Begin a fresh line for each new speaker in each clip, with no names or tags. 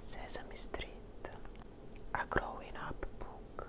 Sesame Street, A Growing Up Book.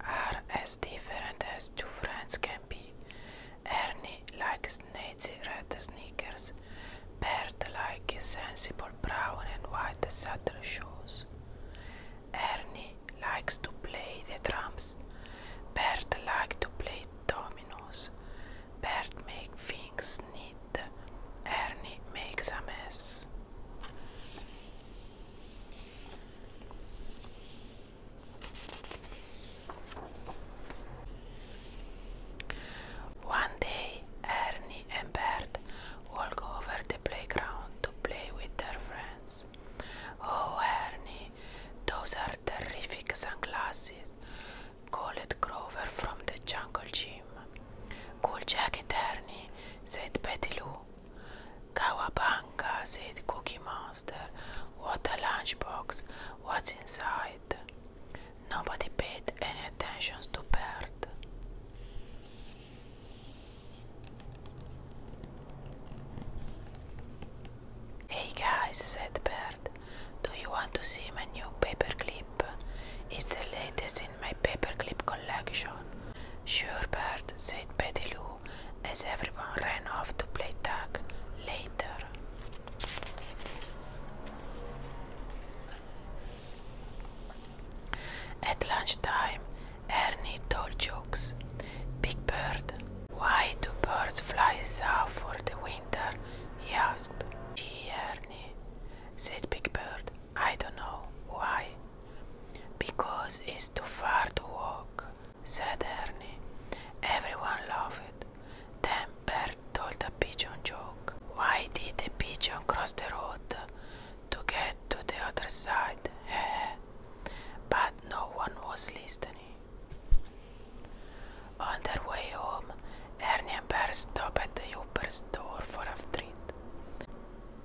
are as different as two friends can be. Ernie likes Nancy red sneakers. Bert likes sensible brown and white saddle shoes. Ernie likes to play the drums. Bert likes to play dominoes. Bert makes things neat. Ernie makes a mess. One day, Ernie and Bert walk over the playground to play with their friends. Oh, Ernie, those are terrific sunglasses, called Grover from the jungle gym. Cool jacket, Ernie, said Betty Lou. Kawabanga, said Cookie Monster. What a lunchbox. What's inside? Nobody paid any attention to Bert. Hey guys, said Bert, do you want to see my new paperclip? It's the latest in my paperclip collection. Sure, Bert, said Betty Lou as everyone ran off to play tag later. At lunchtime, Ernie told jokes. Big Bird, why do birds fly south for the winter? he asked. Gee, Ernie, said Big Bird, I don't know. Why? Because it's too far to walk said Ernie. Everyone loved it. Then Bert told a pigeon joke. Why did the pigeon cross the road? To get to the other side. but no one was listening. On their way home, Ernie and Bert stopped at the Uber door for a treat.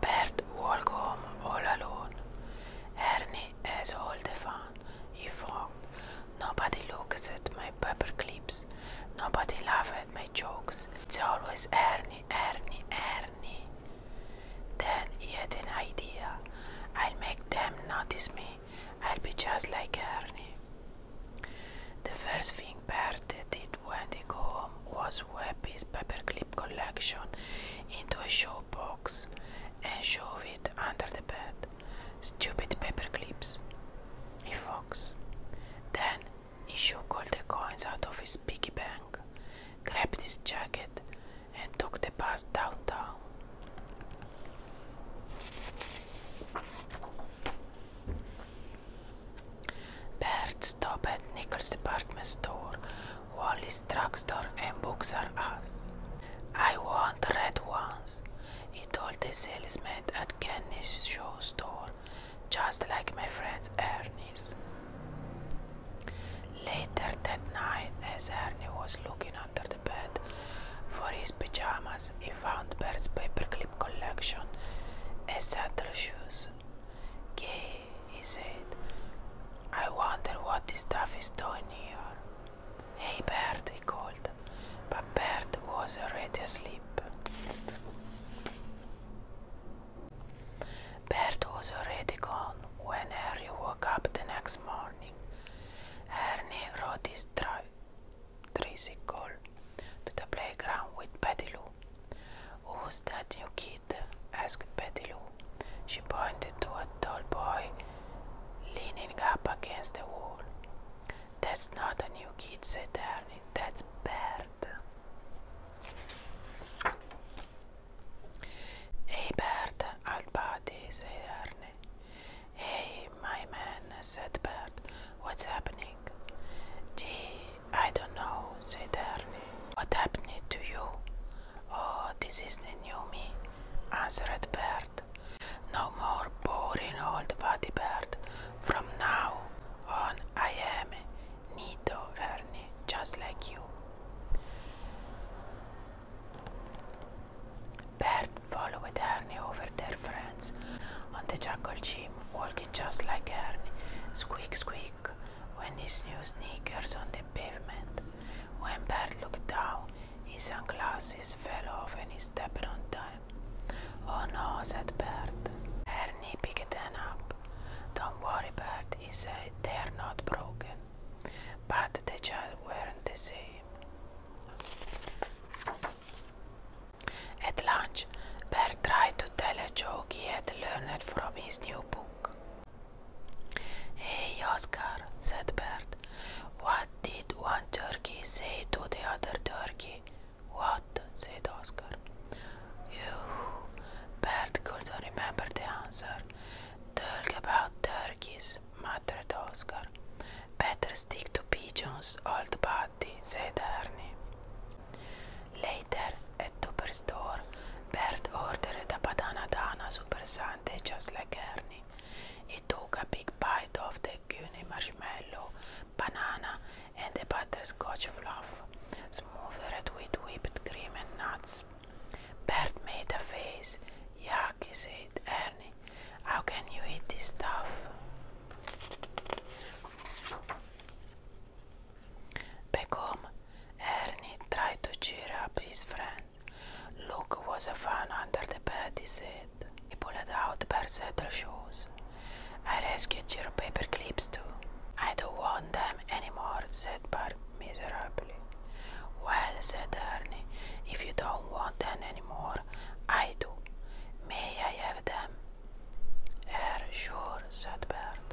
Bert walked home all alone. Ernie has all the fun, he thought. Nobody looks at my paper clips. Nobody laughs at my jokes. It's always Ernie, Ernie, Ernie. Then he had an idea. I'll make them notice me. I'll be just like Ernie. The first thing Bert did when he got home. Was was his paperclip collection into a shoebox, and shove it under the bed. Stupid paperclips, he fox. Then he shook all the coins out of his piggy bank, grabbed his jacket, and took the bus downtown. Bert stopped at Nickel's department store Wally's drugstore and books are us. I want red ones, he told the salesman at Kenny's shoe store, just like my friend Ernie's. Later that night, as Ernie was looking under the bed for his pajamas, he found Bert's paperclip collection and saddle shoes. Gay he said. I wonder what this stuff is doing here. Hey, Bert, he called, but Bert was already asleep. Bert was already gone when Harry woke up the next morning. Ernie rode his tricycle to the playground with Betty Lou. Who's that new kid? asked Betty Lou. She pointed to a tall boy leaning up against the wall. That's not a new kid, said Ernie. That's Bert. Hey, Bert, old said Ernie. Hey, my man, said Bert. What's happening? Gee, I don't know, said Ernie. What happened to you? Oh, this isn't new me, answered Bert. No more boring old body bird. From now on, I am Nito Ernie, just like you. Bert followed Ernie over their friends on the jungle gym, walking just like Ernie. Squeak, squeak when his new sneakers on the pavement. When Bert looked down, his sunglasses fell off and he stepped on them. Oh no, said Bert. Ernie picked them up. Don't worry, Bert, he said, they're not broken. But the child weren't the same. At lunch, Bert tried to tell a joke he had learned from his new book. Hey, Oscar, said Bert. What did one turkey say to the other turkey? What? said Oscar. You. Bert couldn't remember the answer. Talk about turkeys, muttered Oscar. Better stick to pigeons, old buddy, said Ernie. Later, at store, Bert ordered a banana dana super sundae just like Ernie. He took a big bite of the gummy marshmallow, banana, and the butterscotch fluff, smoothed with whipped cream and nuts. Bert made a face. Yuck, he said, Ernie, how can you eat this stuff? Back home, Ernie tried to cheer up his friend. Look was a fan under the bed, he said. He pulled out Bersettle shoes. I rescued your paper clips too. I don't want them anymore, said Bart miserably. Well, said Ernie, if you don't want them anymore, I do. May I have them? Er, sure, said Bert.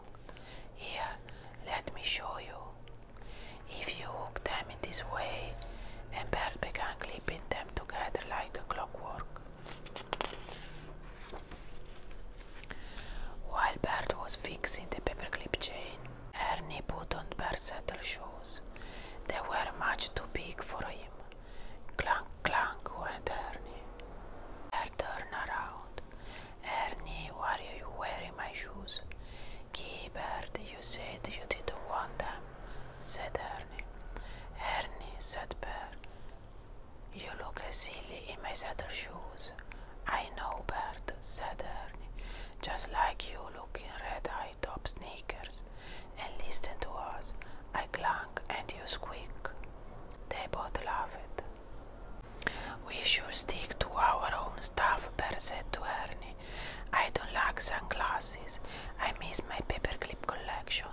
Here, let me show you. If you hook them in this way, and Bert began clipping them together like a clockwork. While Bert was fixing the paperclip chain, Ernie put on Bert's saddle shoes. They were much too big for him. Clank, clank went Ernie. Bert turned around. Ernie, why are you wearing my shoes? Gilbert, you said you didn't want them, said Ernie. Ernie, said "Bird, you look silly in my saddle shoes. I know, Bird," said Ernie, just like you look in red high top sneakers. And listen to us. I clank and you squeak. They both it. We should stick to our own stuff, Bert said to Ernie. I don't like sunglasses. I miss my paperclip collection.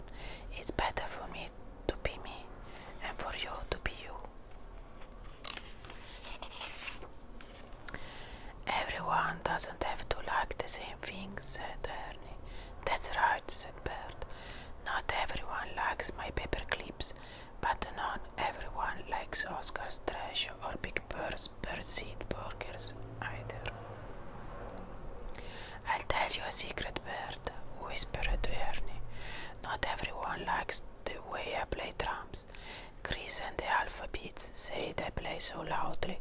It's better for me to be me and for you to be you. Everyone doesn't have to like the same things, said Ernie. That's right, said Bert. Not everyone likes my paper clips, but not everyone likes Oscar's trash or Big Bird's Birdseed burgers either. I'll tell you a secret, Bird, whispered Ernie. Not everyone likes the way I play drums. Chris and the Alphabets say they play so loudly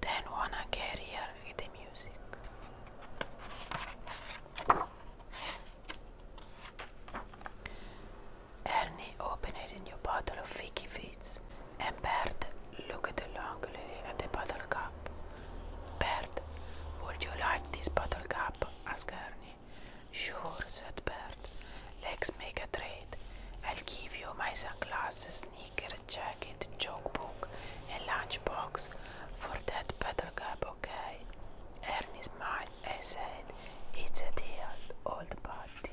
they don't wanna carry the music. Ernie it in your bottle of Vicky Fizz, and Bert look at looked longingly at the bottle cap. Bert, would you like this bottle cap? asked Ernie. Sure, said Bert. Let's make a trade. I'll give you my sunglasses, sneaker, jacket, joke book, and lunchbox for that bottle cap, okay? Ernie smiled. I said it's a deal, old party.